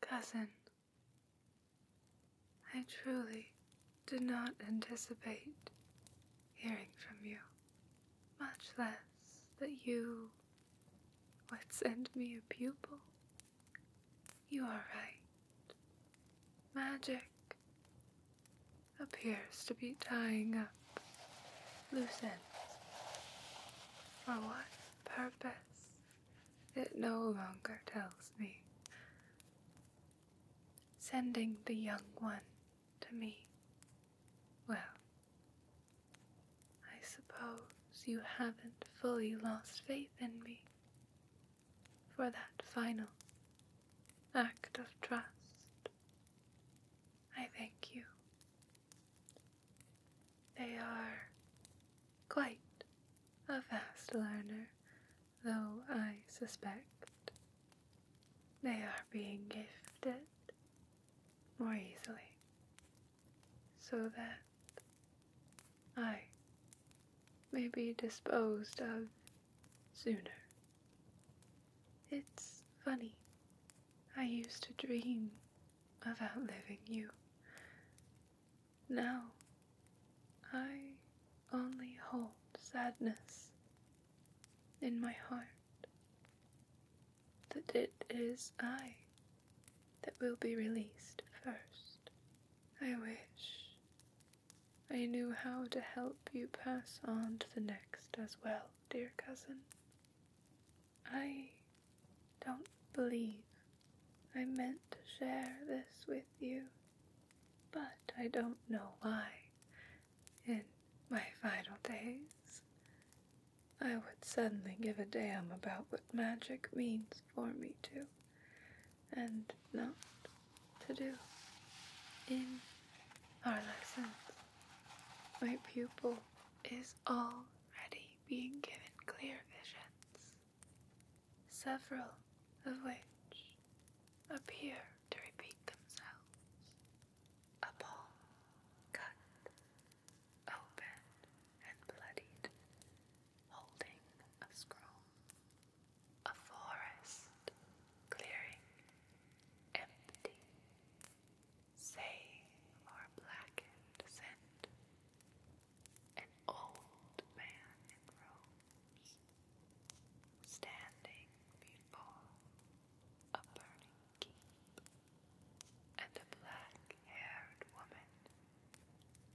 Cousin, I truly did not anticipate hearing from you, much less that you would send me a pupil. You are right. Magic appears to be tying up loose ends. For what purpose? It no longer tells me. Sending the young one to me. Well, I suppose you haven't fully lost faith in me for that final act of trust. I thank you they are quite a fast learner, though I suspect they are being gifted more easily, so that I may be disposed of sooner. It's funny, I used to dream of outliving you. Now I only hold sadness in my heart that it is I that will be released first. I wish I knew how to help you pass on to the next as well, dear cousin. I don't believe I meant to share this with you, but I don't know why. In my final days, I would suddenly give a damn about what magic means for me to and not to do. In our lessons, my pupil is already being given clear visions several of which appear to repeat themselves upon cut, open, and bloodied, holding a scroll, a forest clearing, empty, save for blackened scent an old man in robes, standing before a burning keep, and a black-haired woman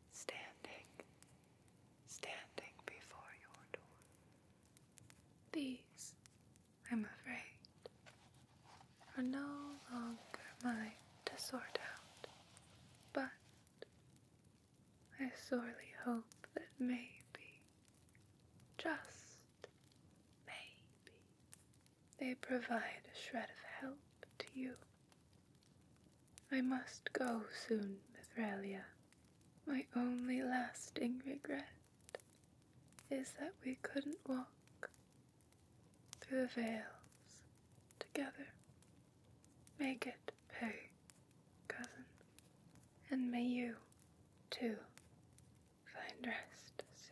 standing, standing before your door. These, I'm afraid, are no longer mine to sort out. But I sorely hope that maybe, just maybe, they provide a shred of help to you. I must go soon, Mithralia. My only lasting regret is that we couldn't walk through the veils together. Make it pay, cousin, and may you, too, find rest soon.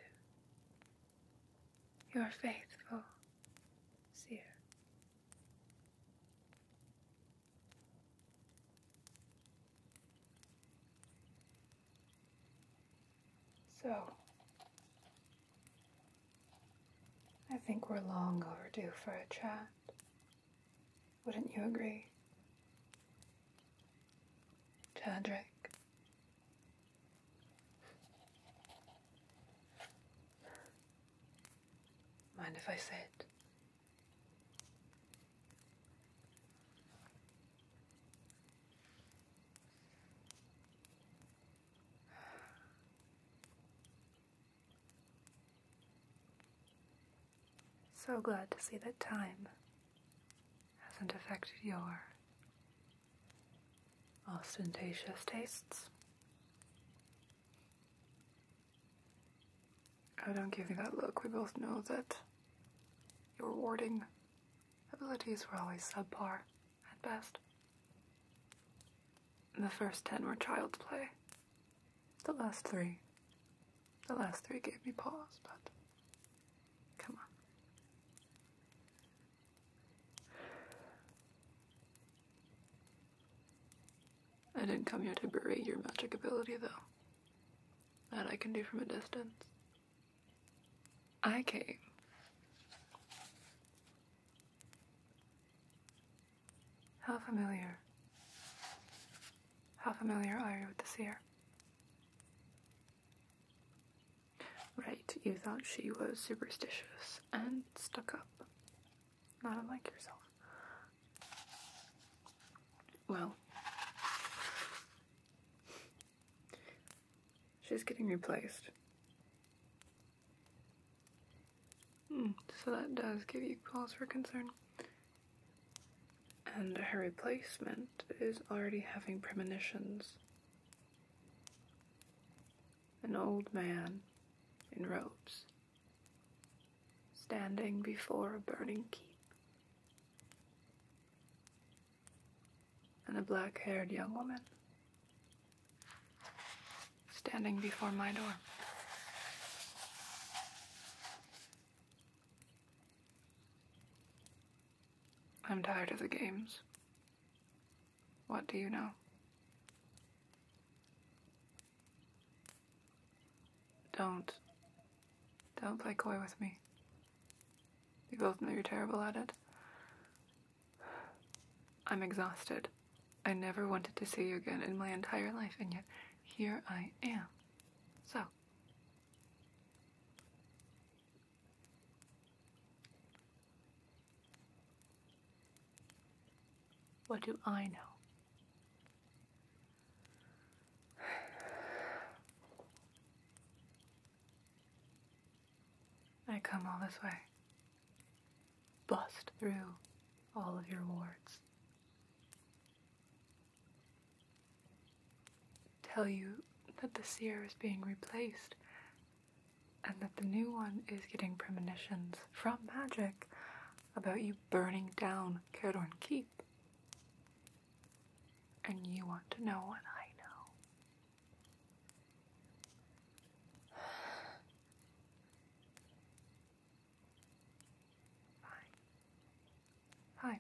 Your faithful seer. So, I think we're long overdue for a chat. Wouldn't you agree? Chadrick. Mind if I sit? So glad to see that time hasn't affected your ostentatious tastes. I don't give you that look. We both know that your warding abilities were always subpar at best. The first ten were child's play. The last three. The last three gave me pause, but come on. I didn't come here to berate your magic ability, though. That I can do from a distance. I came how familiar? How familiar are you with the seer? Right, you thought she was superstitious and stuck up. Not unlike yourself. Well, She's getting replaced. Hmm, so that does give you cause for concern. And her replacement is already having premonitions. An old man in robes, standing before a burning keep. And a black haired young woman standing before my door. I'm tired of the games. What do you know? Don't. Don't play coy with me. You both know you're terrible at it. I'm exhausted. I never wanted to see you again in my entire life, and yet here I am. So. What do I know? I come all this way bust through all of your wards. Tell you that the seer is being replaced and that the new one is getting premonitions from magic about you burning down Caradorn Keep. And you want to know what I know. Fine. Fine.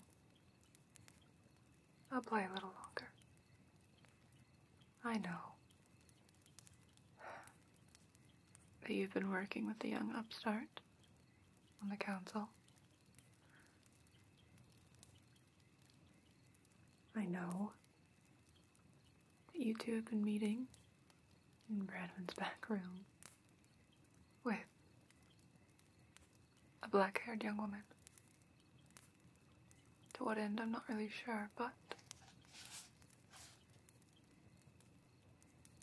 I'll play a little longer. I know that you've been working with the young upstart on the council. I know that you two have been meeting in Bradman's back room with a black haired young woman. To what end, I'm not really sure, but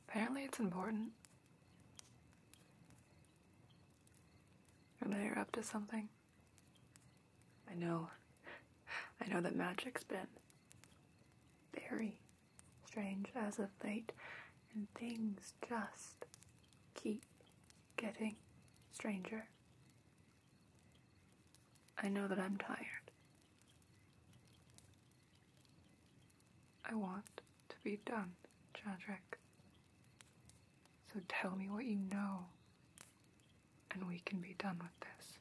apparently it's important. And they're up to something. I know. I know that magic's been very strange as of late, and things just keep getting stranger. I know that I'm tired. I want to be done, Chadrick. So tell me what you know and we can be done with this.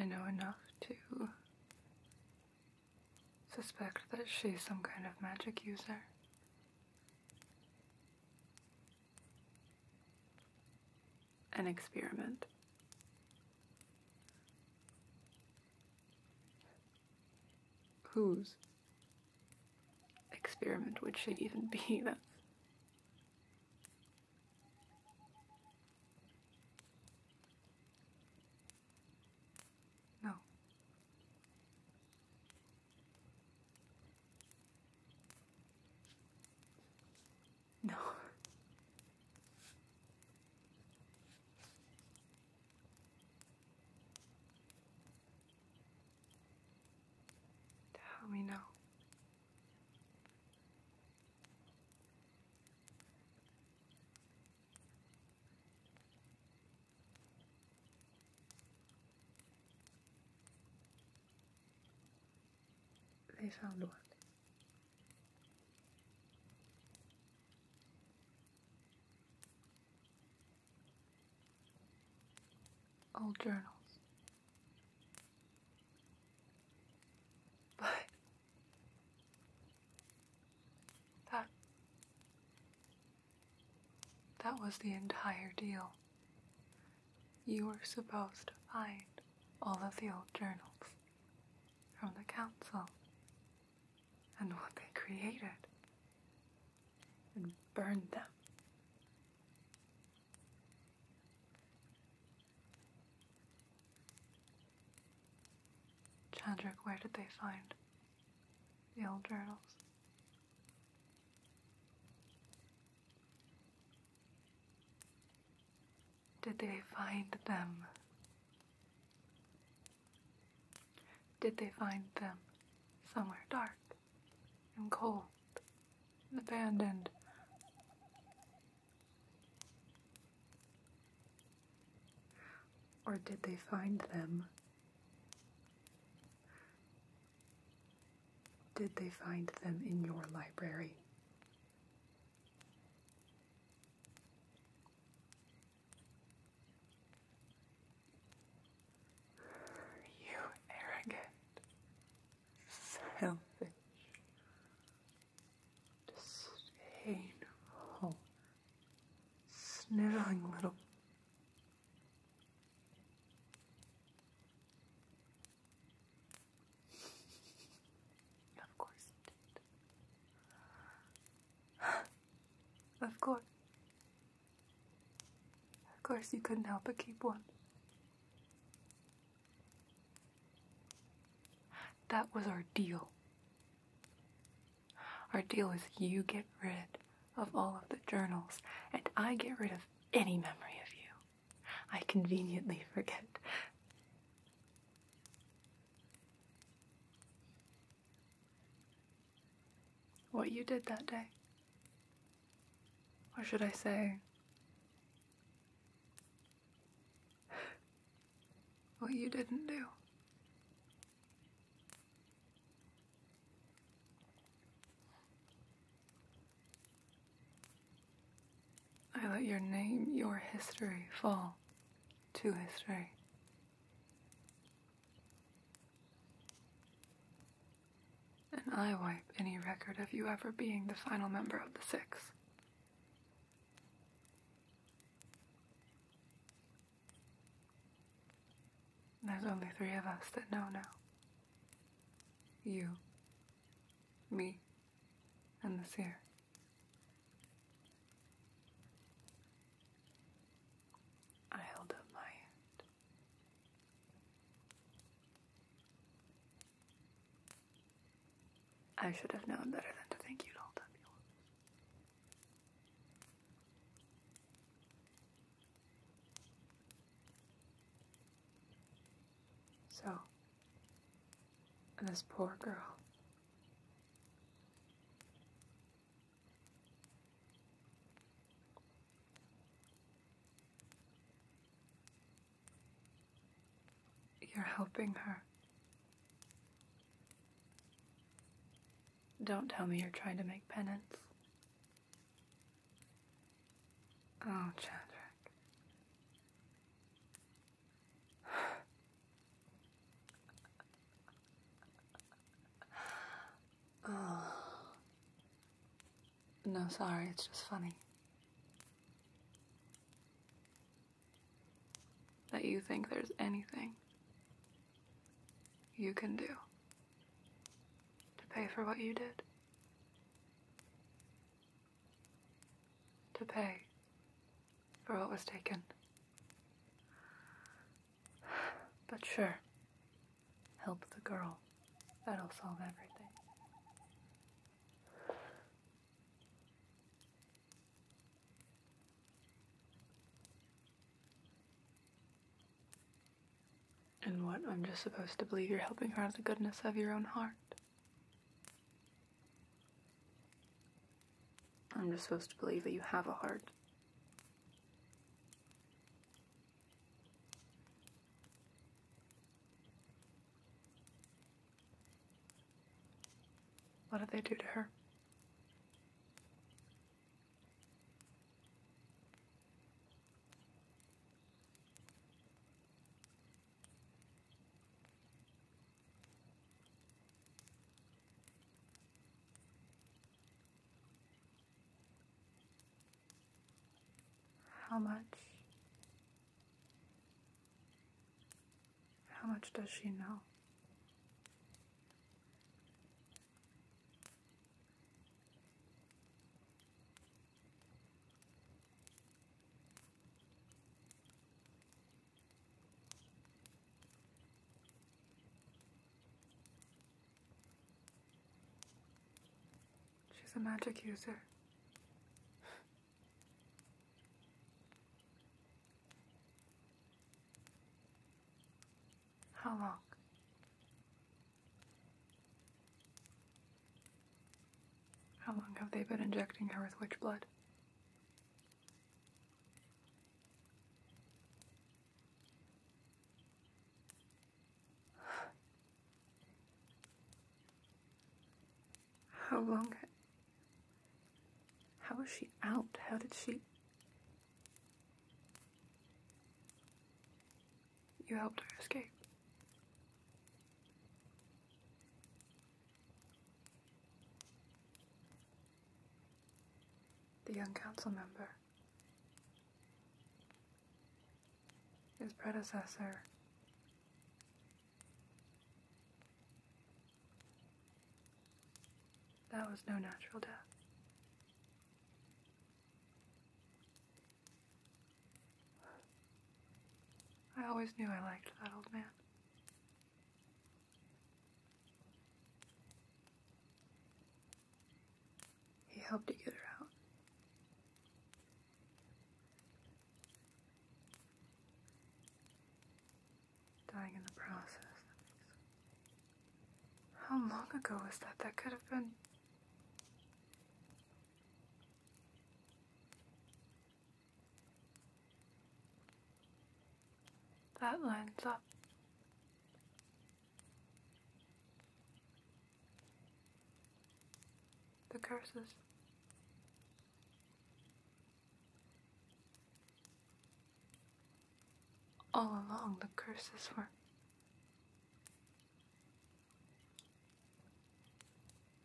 I know enough to suspect that she's some kind of magic user an experiment. Whose experiment would she even be? That's no. No. Tell me now. They found one. Old journals. But that that was the entire deal you were supposed to find all of the old journals from the council and what they created and burn them. Chandra, where did they find the old journals? Did they find them? Did they find them somewhere dark and cold and abandoned? Or did they find them? Did they find them in your library? You arrogant, selfish, disdainful, sniveling little of course of course. Of course you couldn't help but keep one. That was our deal. Our deal is you get rid of all of the journals, and I get rid of any memory of you. I conveniently forget. What you did that day. Or should I say, what you didn't do? I let your name, your history fall to history. And I wipe any record of you ever being the final member of the Six. There's only three of us that know now. You, me, and the fear. I held up my hand. I should have known better than to think you'd hold up yours. So, this poor girl. You're helping her. Don't tell me you're trying to make penance. Oh, Chadwick oh. No, sorry, it's just funny. That you think there's anything you can do to pay for what you did to pay for what was taken. But sure, help the girl. That'll solve everything. And what, I'm just supposed to believe you're helping her out of the goodness of your own heart? I'm just supposed to believe that you have a heart. What did they do to her? How much? How much does she know? She's a magic user. How long? How long have they been injecting her with witch blood? How long? How was she out? How did she? You helped her escape. The young council member. His predecessor. That was no natural death. I always knew I liked that old man. He helped to get her out. Dying in the process. How long ago was that? That could have been that lines up. The curses. All along, the curses were.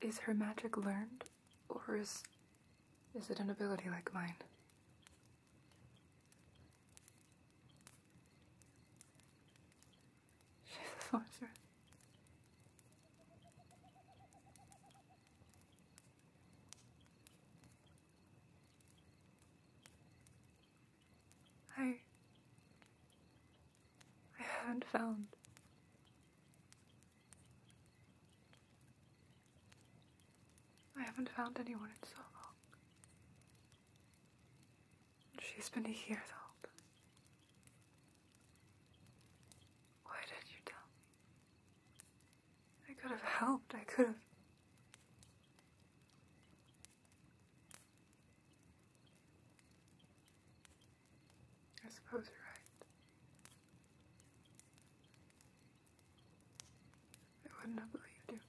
Is her magic learned? Or is, is it an ability like mine? She's a sorceress. I... I haven't found I haven't found anyone in so long. She's been here though. Why did you tell I could have helped. I could have. I suppose you're right. I wouldn't have believed you.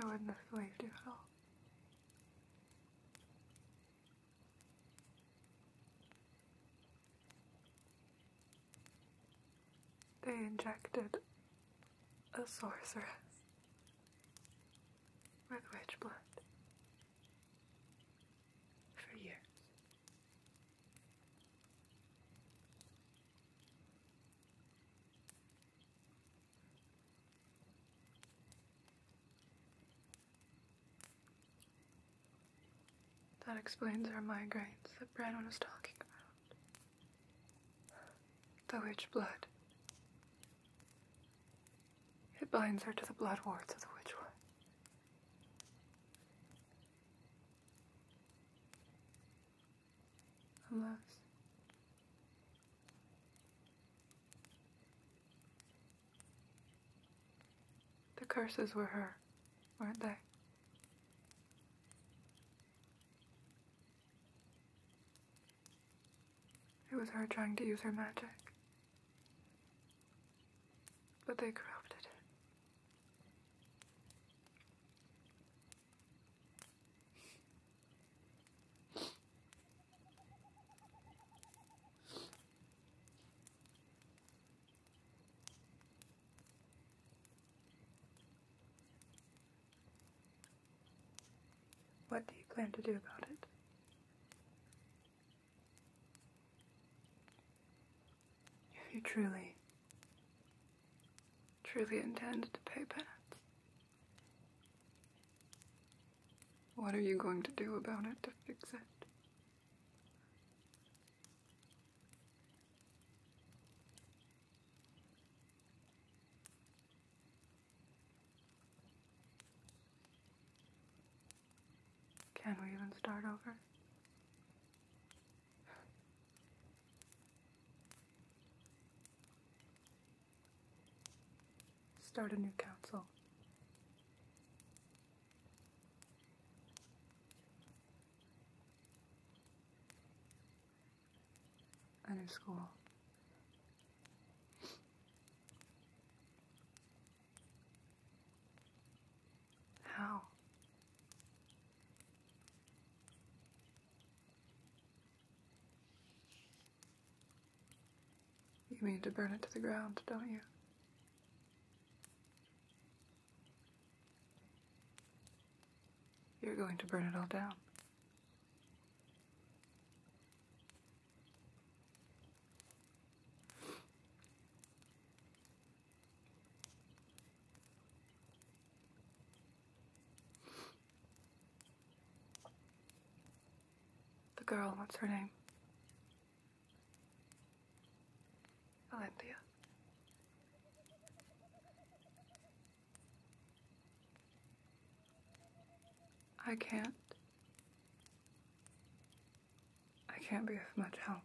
I wouldn't have believed you at all. They injected a sorceress or the blood for years. That explains our migraines that Brandon was talking about. The witch blood. It binds her to the blood wards of the Witchwood. Unless. The curses were her, weren't they? It was her trying to use her magic. But they corrupted it. What do you plan to do about it? If you truly, truly intended to pay penance, what are you going to do about it to fix it? Can we even start over? Start a new council. A new school. How? You mean to burn it to the ground, don't you? You're going to burn it all down. The girl, what's her name? Olympia. I can't. I can't be of much help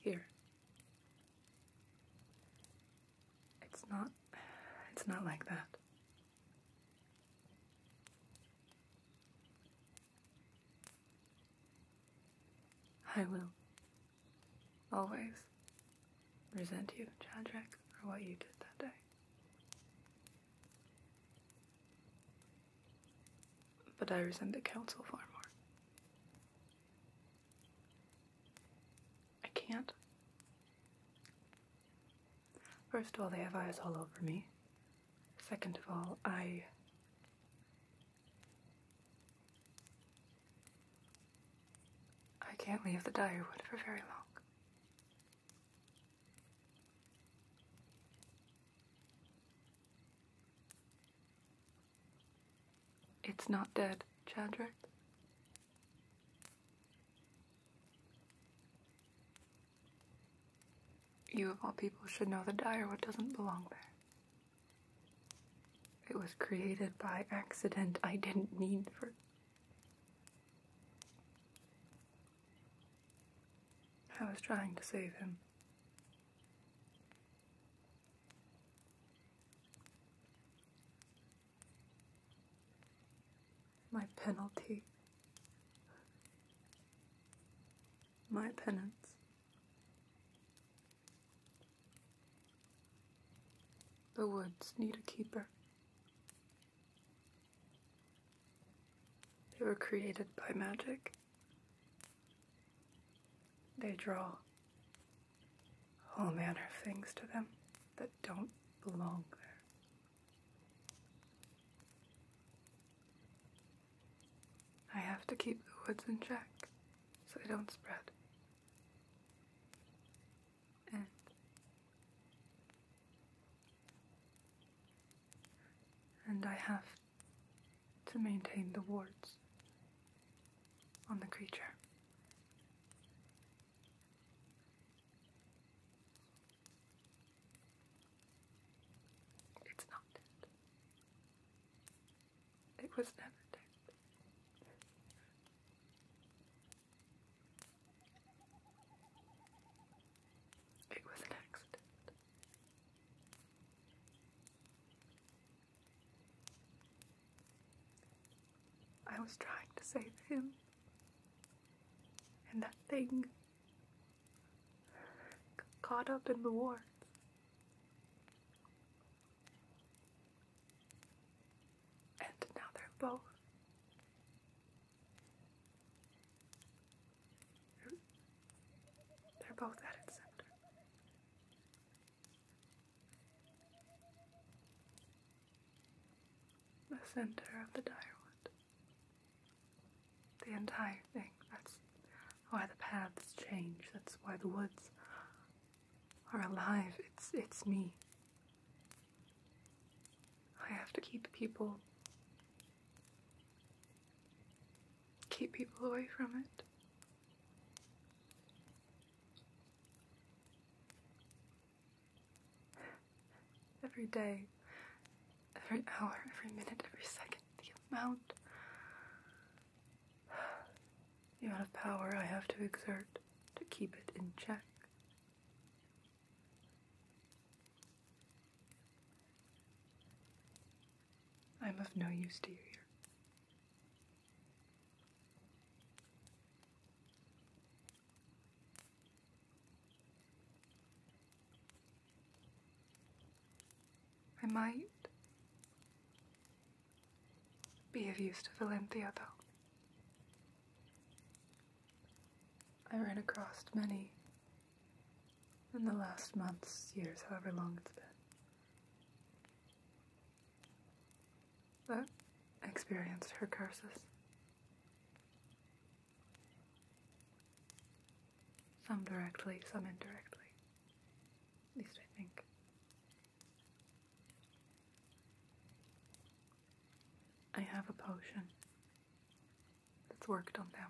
here. It's not. It's not like that. I will always resent you, Chadrick, for what you did that day. But I resent the council far more. I can't. First of all, they have eyes all over me. Second of all, I. I can't leave the Direwood for very long. It's not dead, Chadrick. You of all people should know the What doesn't belong there. It was created by accident I didn't mean for I was trying to save him. My penalty. My penance. The woods need a keeper. They were created by magic. They draw all manner of things to them that don't belong there. I have to keep the woods in check so they don't spread. And and I have to maintain the wards on the creature. It's not dead. It was never dead. It was an I was trying to save him, and that thing got caught up in the war, And now they're both they're both at its center. The center of the direwood. The entire thing. That's why the paths change. That's why the woods are alive. It's it's me. I have to keep people keep people away from it. Every day, every hour, every minute, every second, the amount the amount of power I have to exert to keep it in check. I'm of no use to you here. I might be of use to Valentia, though. I ran across many in the last months, years, however long it's been. I experienced her curses. Some directly, some indirectly. At least I think. I have a potion that's worked on them.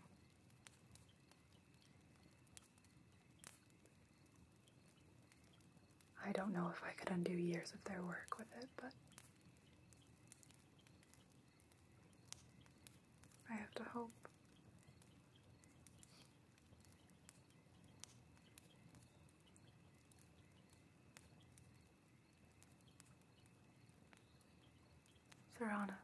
I don't know if I could undo years of their work with it, but I have to hope. Serranos.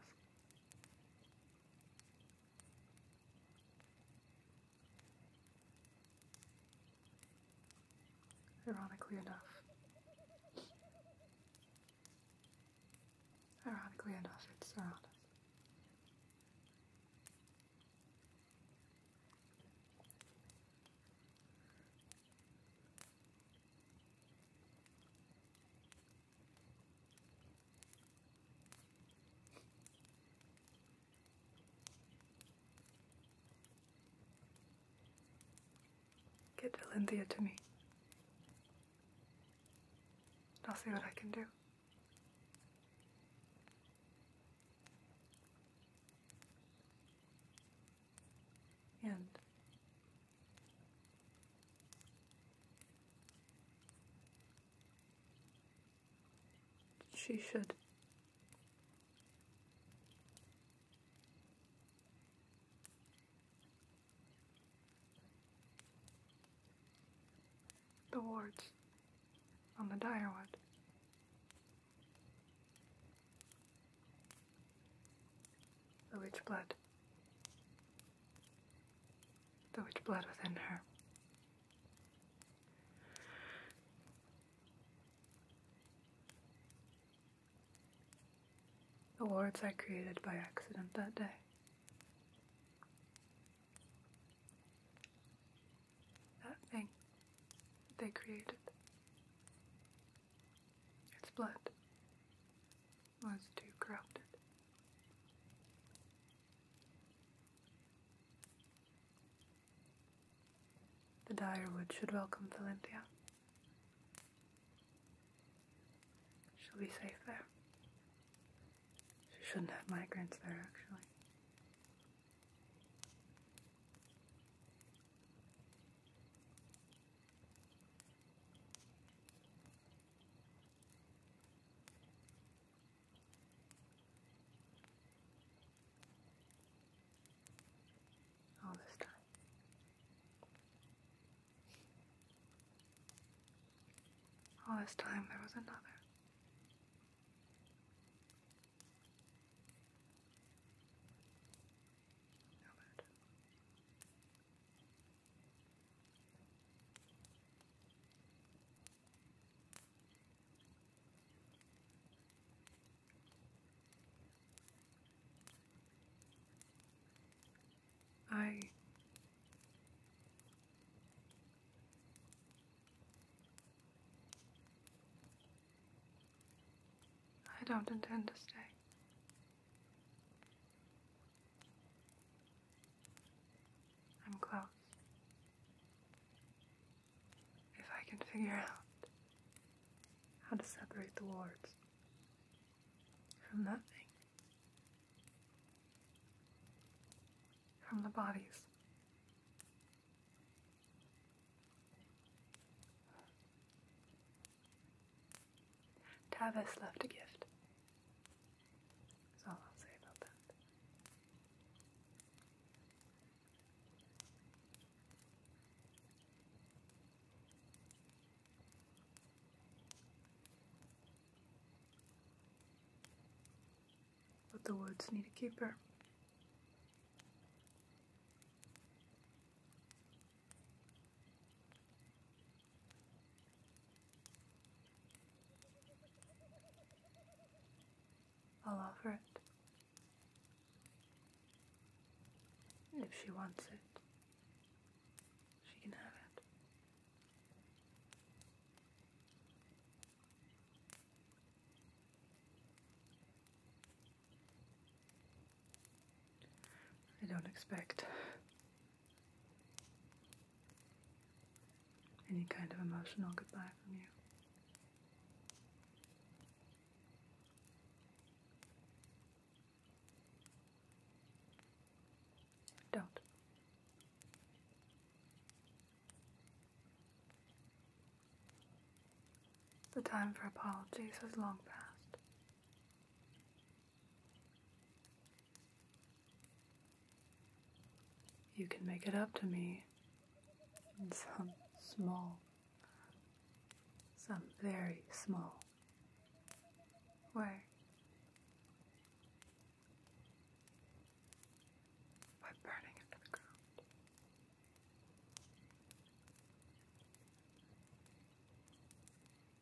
Ironically enough. Ironically enough, it's Serranos. Get Delinthia to me. I'll see what I can do. And she should. The wards on the direwood the witch blood, the witch blood within her. The wards I created by accident that day. That thing they created. Its blood was too corrupted. The Direwood should welcome Valentia. She'll be safe there. She shouldn't have migrants there, actually all this time. All this time there was another. No I I don't intend to stay. I'm close. If I can figure out how to separate the wards from that thing, from the bodies. Tavis left a gift. That's all I'll say about that. But the woods need a keeper all over it. if she wants it, she can have it. I don't expect any kind of emotional goodbye from you. Don't. The time for apologies has long passed. You can make it up to me in some small, some very small way. By burning it the ground.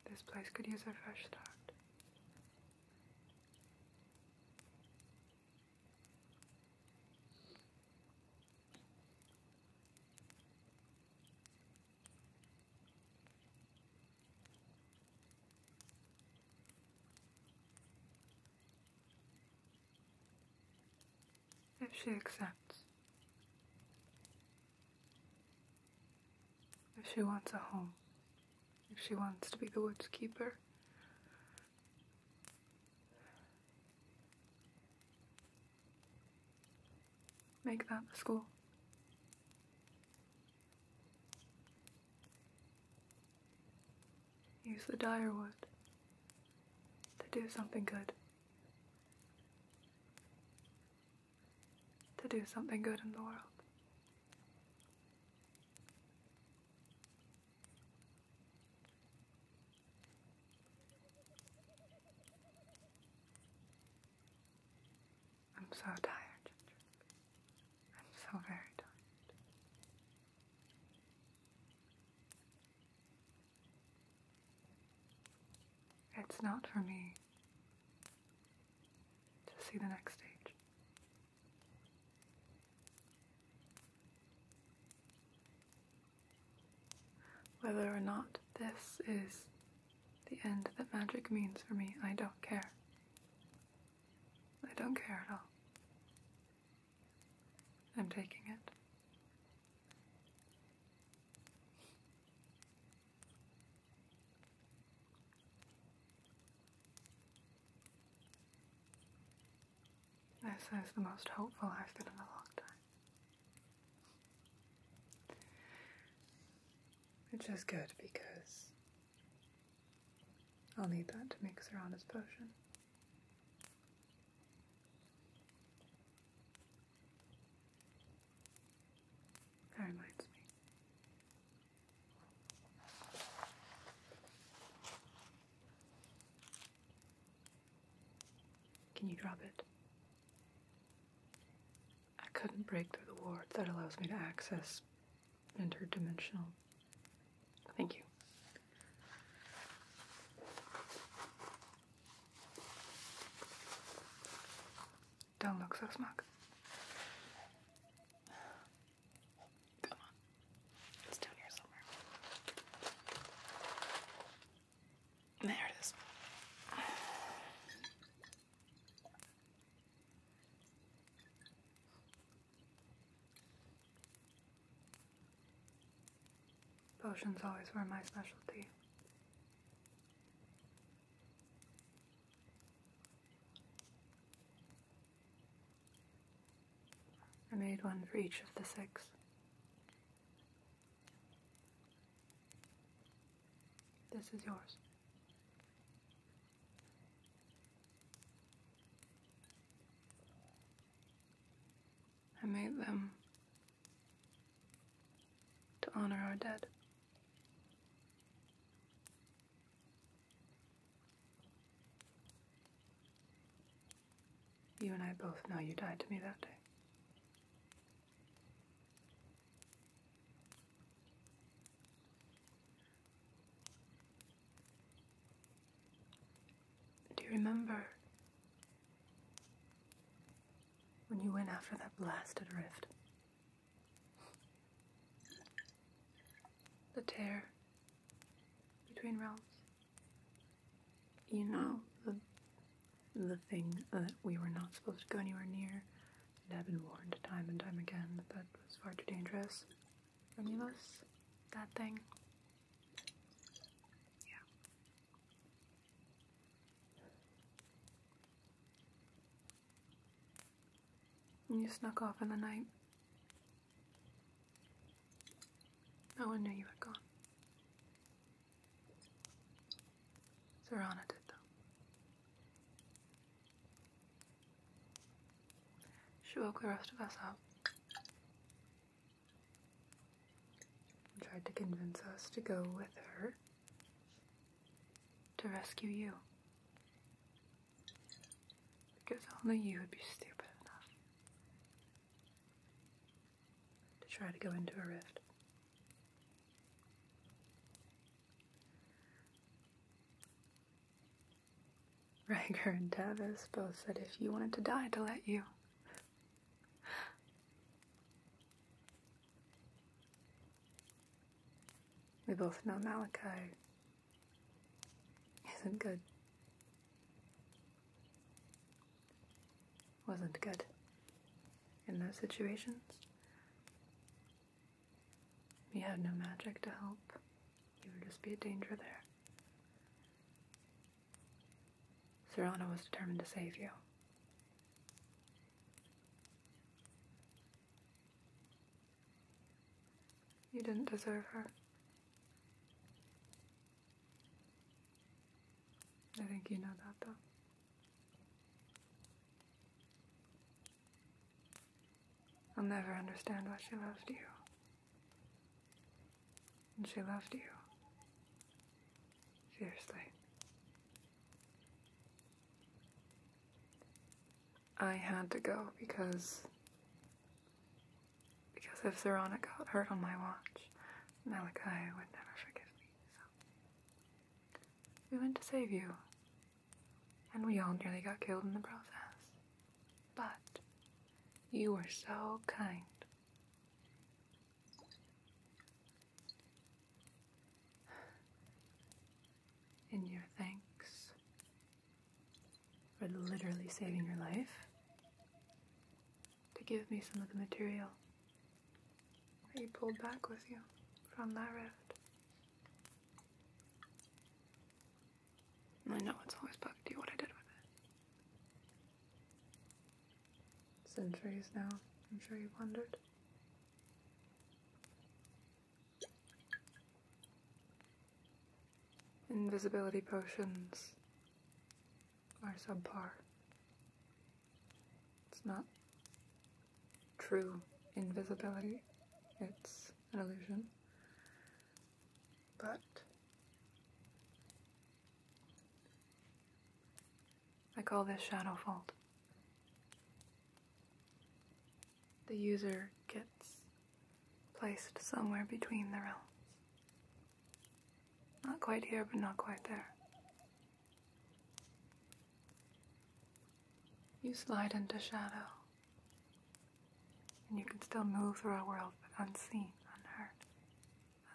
This place could use a fresh start. If she accepts, if she wants a home, if she wants to be the woods keeper, make that the school. Use the dire wood to do something good to do something good in the world. I'm so tired. I'm so very tired. It's not for me to see the next stage. Whether or not this is the end that magic means for me, I don't care. I don't care at all. I'm taking it. This is the most hopeful I've been in a long time. Which is good because I'll need that to make Serana's potion. That reminds me. Can you drop it? I couldn't break through the ward that allows me to access interdimensional. Thank you. Don't look so smug. Come on. It's down here somewhere. There it is. Potions always were my specialty. I made one for each of the six. This is yours. I made them to honor our dead. You and I both know you died to me that day. Do you remember when you went after that blasted rift? the tear between realms. You know, the, the thing that we were not supposed to go anywhere near and I've been warned time and time again that that was far too dangerous for any of us. That thing. Yeah. And you snuck off in the night. No one knew you had gone. Serana did, though. She woke the rest of us up and tried to convince us to go with her to rescue you. Because only you would be stupid enough to try to go into a rift. Rager and Tavis both said if you wanted to die, to let you. We both know Malachi isn't good. Wasn't good in those situations. You had no magic to help. He would just be a danger there. Serrano was determined to save you. You didn't deserve her. I think you know that, though. I'll never understand why she loved you. And she loved you. Fiercely. I had to go because because if Serana got hurt on my watch, Malachi would never forgive me. So we went to save you, and we all nearly got killed in the process. But you were so kind in your thanks for literally saving your life to give me some of the material that you pulled back with you from that rift. I know it's always bugged you what I did with it. Centuries now, I'm sure you've wondered. Invisibility potions are subpar. It's not true invisibility, it's an illusion. But I call this Shadow Fault. The user gets placed somewhere between the realms. Not quite here, but not quite there. You slide into shadow, and you can still move through our world, but unseen, unheard,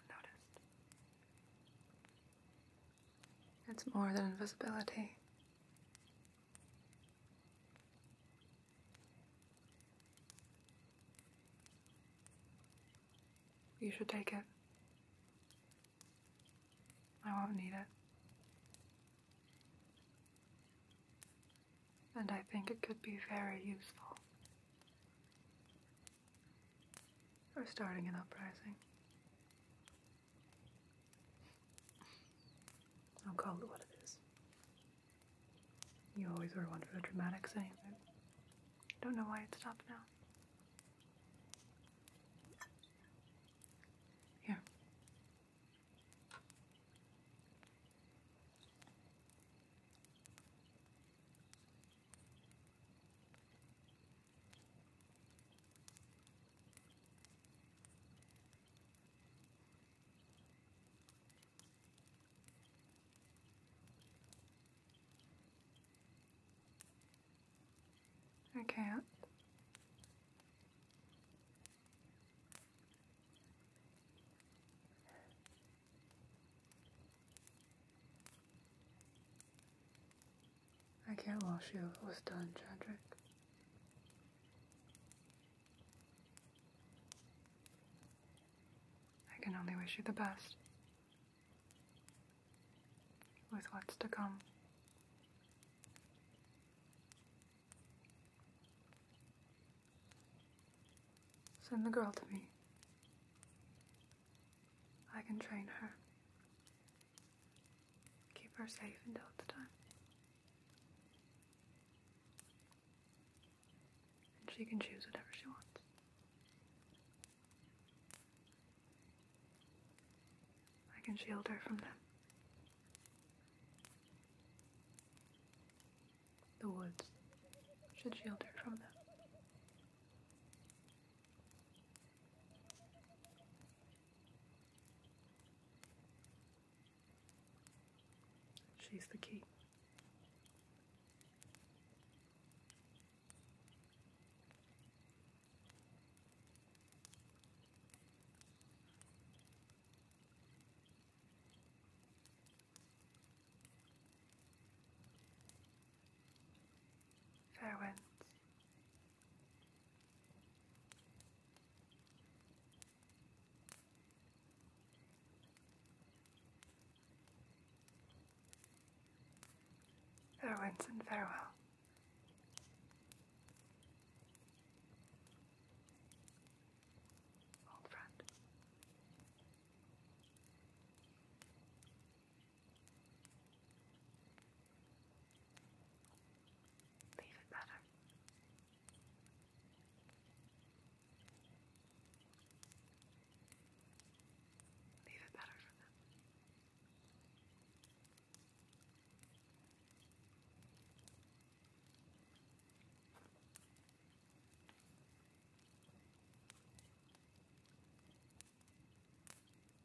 unnoticed. It's more than invisibility. You should take it. I won't need it. And I think it could be very useful for starting an uprising. I'll call it what it is. You always were one for the dramatics, I don't know why it stopped now. Here. I can't. I can't wash you if it was done, Chadrick. I can only wish you the best with what's to come. Send the girl to me. I can train her. Keep her safe until the time. And she can choose whatever she wants. I can shield her from them. The woods should shield her from them. She's the key. Fair Farewinds and farewell. Old friend leave it better. Leave it better for them. Good.